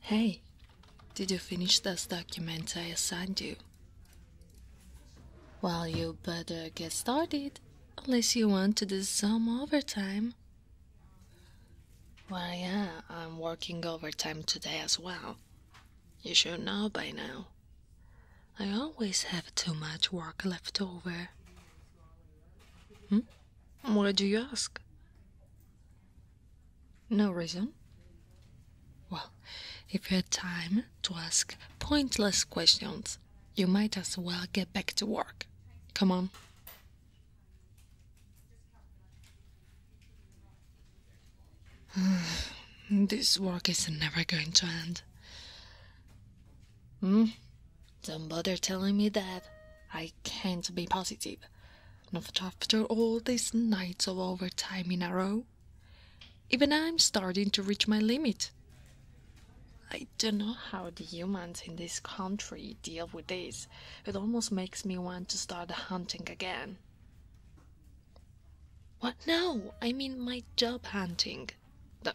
Hey, did you finish this document I assigned you? Well, you better get started, unless you want to do some overtime. Well, yeah, I'm working overtime today as well. You should know by now. I always have too much work left over. Hmm? Why do you ask? No reason. Well, if you have time to ask pointless questions, you might as well get back to work. Come on. this work is never going to end. Hmm? Don't bother telling me that. I can't be positive. Not after all these nights of overtime in a row. Even I'm starting to reach my limit. I don't know how the humans in this country deal with this. It almost makes me want to start hunting again. What now? I mean my job hunting. No.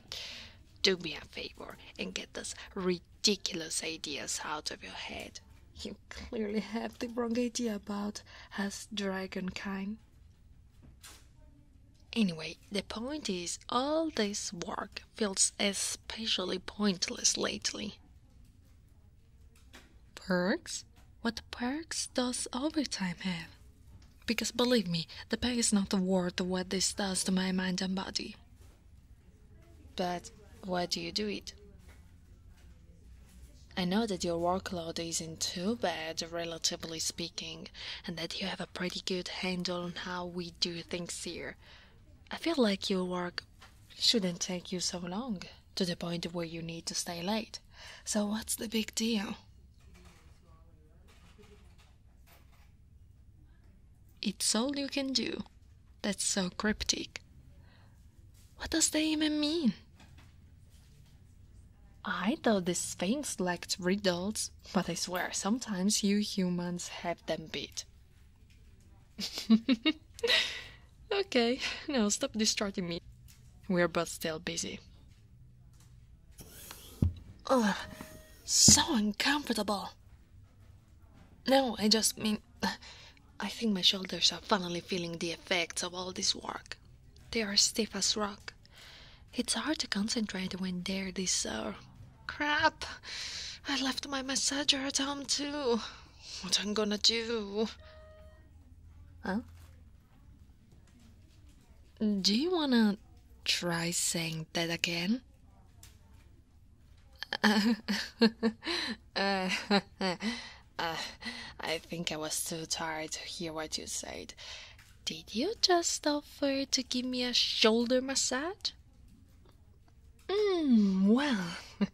Do me a favor and get those ridiculous ideas out of your head. You clearly have the wrong idea about us dragonkind. Anyway, the point is, all this work feels especially pointless lately. Perks? What perks does overtime have? because believe me, the pain is not worth what this does to my mind and body. But why do you do it? I know that your workload isn't too bad, relatively speaking, and that you have a pretty good handle on how we do things here. I feel like your work shouldn't take you so long, to the point where you need to stay late. So, what's the big deal? It's all you can do. That's so cryptic. What does that even mean? I thought the Sphinx liked riddles, but I swear sometimes you humans have them beat. okay, now stop distracting me. We're both still busy. Ugh, so uncomfortable. No, I just mean, I think my shoulders are finally feeling the effects of all this work. They are stiff as rock. It's hard to concentrate when they're this sore. Uh, crap! I left my massager at home too. What I'm gonna do? Huh? Do you wanna try saying that again? Uh, uh, I think I was too tired to hear what you said. Did you just offer to give me a shoulder massage? Hmm, well,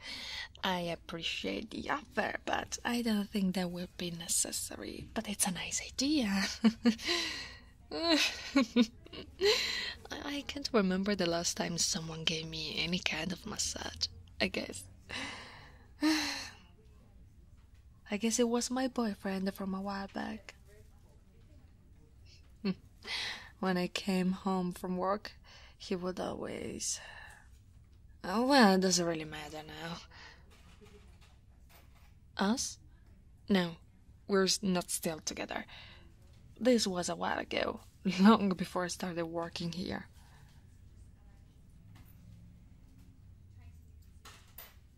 I appreciate the offer, but I don't think that will be necessary, but it's a nice idea. I can't remember the last time someone gave me any kind of massage, I guess. I guess it was my boyfriend from a while back. when I came home from work, he would always. Oh, well, it doesn't really matter now. Us? No, we're not still together. This was a while ago, long before I started working here.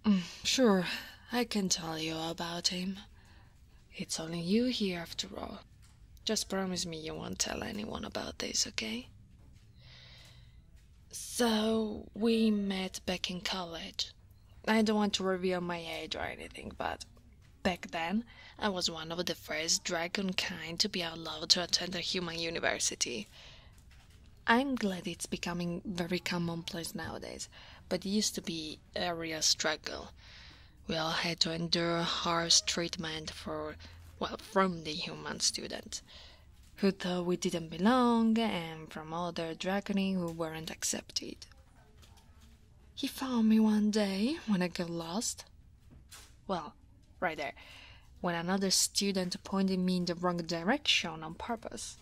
Mm, sure, I can tell you about him. It's only you here after all. Just promise me you won't tell anyone about this, okay? So we met back in college. I don't want to reveal my age or anything, but back then I was one of the first dragon kind to be allowed to attend a human university. I'm glad it's becoming very commonplace nowadays, but it used to be a real struggle. We all had to endure harsh treatment for well from the human students who thought we didn't belong, and from other dragoni who weren't accepted. He found me one day when I got lost. Well, right there, when another student pointed me in the wrong direction on purpose.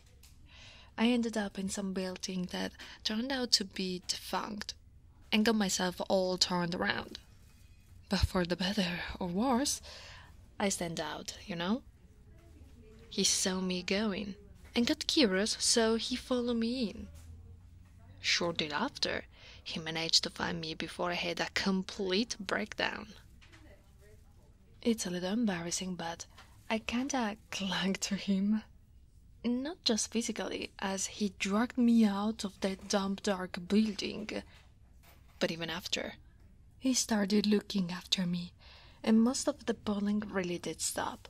I ended up in some building that turned out to be defunct and got myself all turned around. But for the better or worse, I stand out, you know? He saw me going and got curious, so he followed me in. Shortly after, he managed to find me before I had a complete breakdown. It's a little embarrassing, but I kinda clung to him. Not just physically, as he dragged me out of that damp dark building, but even after, he started looking after me, and most of the bullying really did stop.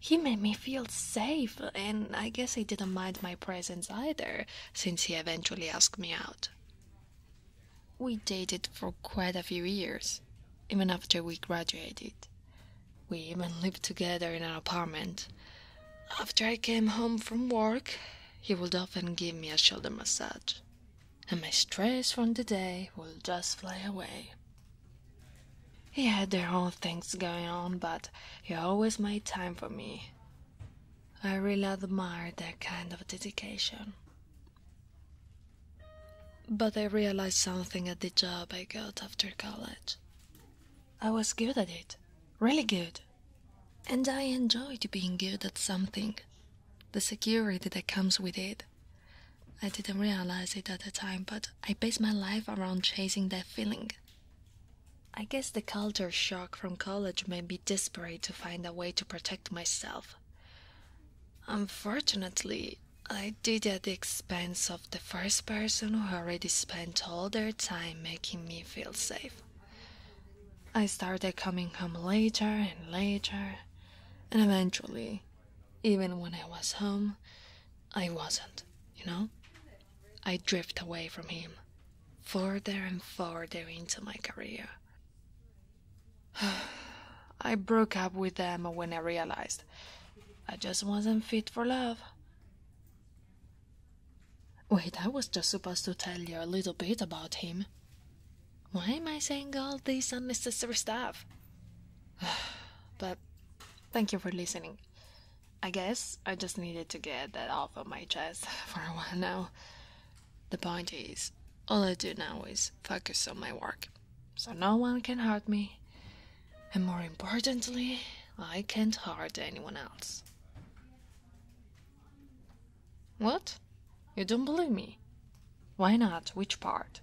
He made me feel safe, and I guess he didn't mind my presence either, since he eventually asked me out. We dated for quite a few years, even after we graduated. We even lived together in an apartment. After I came home from work, he would often give me a shoulder massage, and my stress from the day would just fly away. He had their own things going on, but he always made time for me. I really admired that kind of dedication. But I realized something at the job I got after college. I was good at it, really good. And I enjoyed being good at something, the security that comes with it. I didn't realize it at the time, but I based my life around chasing that feeling. I guess the culture shock from college made me desperate to find a way to protect myself. Unfortunately, I did at the expense of the first person who already spent all their time making me feel safe. I started coming home later and later, and eventually, even when I was home, I wasn't, you know? I drifted away from him, further and further into my career. I broke up with him when I realized I just wasn't fit for love. Wait, I was just supposed to tell you a little bit about him. Why am I saying all this unnecessary stuff? but thank you for listening. I guess I just needed to get that off of my chest for a while now. The point is, all I do now is focus on my work, so no one can hurt me, and more importantly, I can't hurt anyone else. What? You don't believe me? Why not? Which part?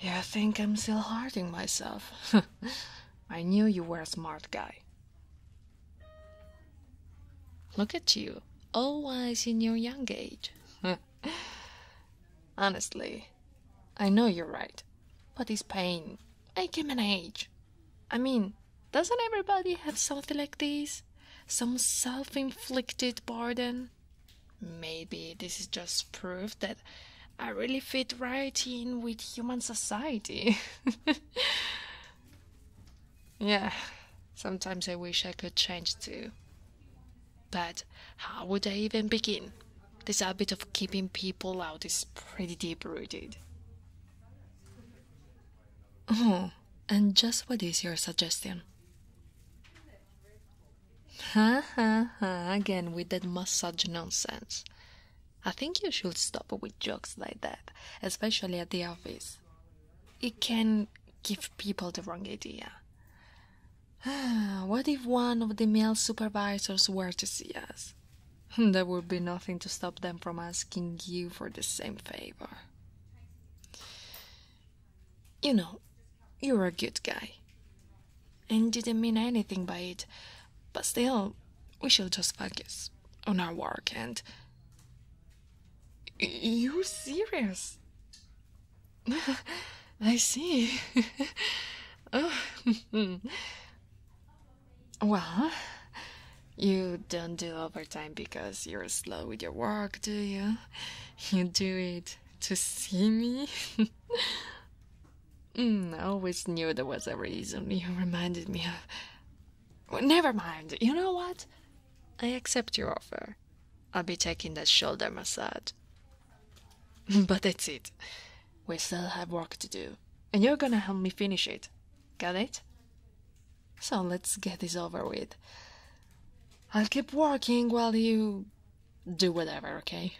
You think I'm still hurting myself? I knew you were a smart guy. Look at you, all wise in your young age. Honestly, I know you're right, but this pain, I can manage. I mean, doesn't everybody have something like this? Some self inflicted burden? Maybe this is just proof that I really fit right in with human society. yeah, sometimes I wish I could change too. But how would I even begin? This habit of keeping people out is pretty deep rooted. Oh, and just what is your suggestion? Ha ha ha, again with that massage nonsense. I think you should stop with jokes like that, especially at the office. It can give people the wrong idea. what if one of the male supervisors were to see us? There would be nothing to stop them from asking you for the same favor. You know, you're a good guy. And didn't mean anything by it, but still, we should just focus on our work and. you serious? I see. Oh. Well, you don't do overtime because you're slow with your work, do you? You do it to see me? Mm, I always knew there was a reason you reminded me of. never mind, you know what? I accept your offer. I'll be taking that shoulder massage. But that's it. We still have work to do, and you're gonna help me finish it. Got it? So let's get this over with. I'll keep working while you do whatever, okay?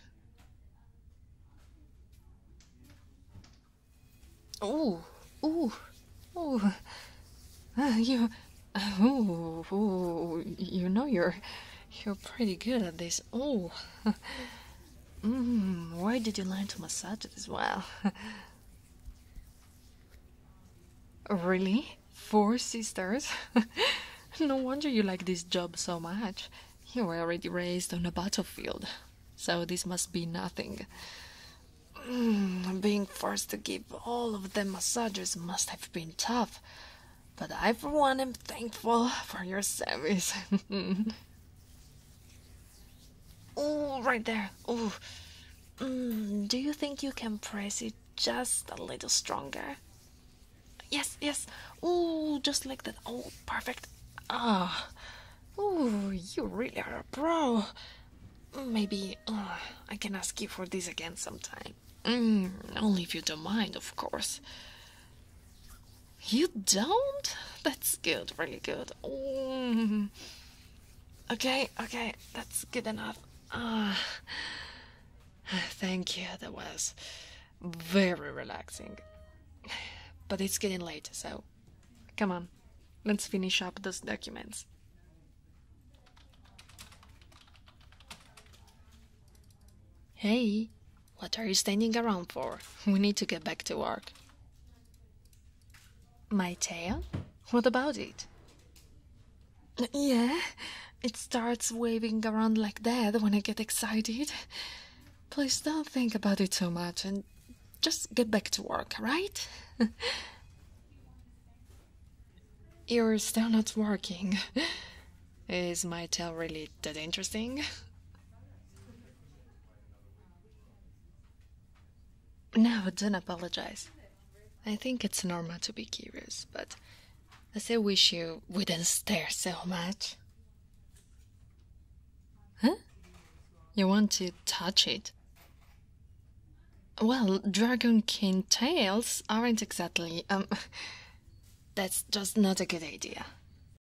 Ooh, ooh, ooh. Ah, you, ooh, ooh, you know you're, you're pretty good at this. Ooh, Mm, why did you learn to massage as well? really? Four sisters? no wonder you like this job so much. You were already raised on a battlefield, so this must be nothing. Mm, being forced to give all of them massages must have been tough, but I, for one, am thankful for your service. Oh, right there. Oh. do you think you can press it just a little stronger? Yes, yes. Oh, just like that. Oh, perfect. Ah. Oh, you really are a pro. Maybe uh, I can ask you for this again sometime. Mm, only if you don't mind, of course. You don't? That's good, really good. Mm. Okay, okay, that's good enough. Uh, thank you, that was very relaxing. But it's getting late, so come on, let's finish up those documents. Hey, what are you standing around for? We need to get back to work. My tail? What about it? Yeah, it starts waving around like that when I get excited. Please don't think about it so much and just get back to work, right? You're still not working. Is my tail really that interesting? No, don't apologize. I think it's normal to be curious, but I still wish you wouldn't stare so much. Huh? You want to touch it? Well, dragon king tails aren't exactly. Um, that's just not a good idea.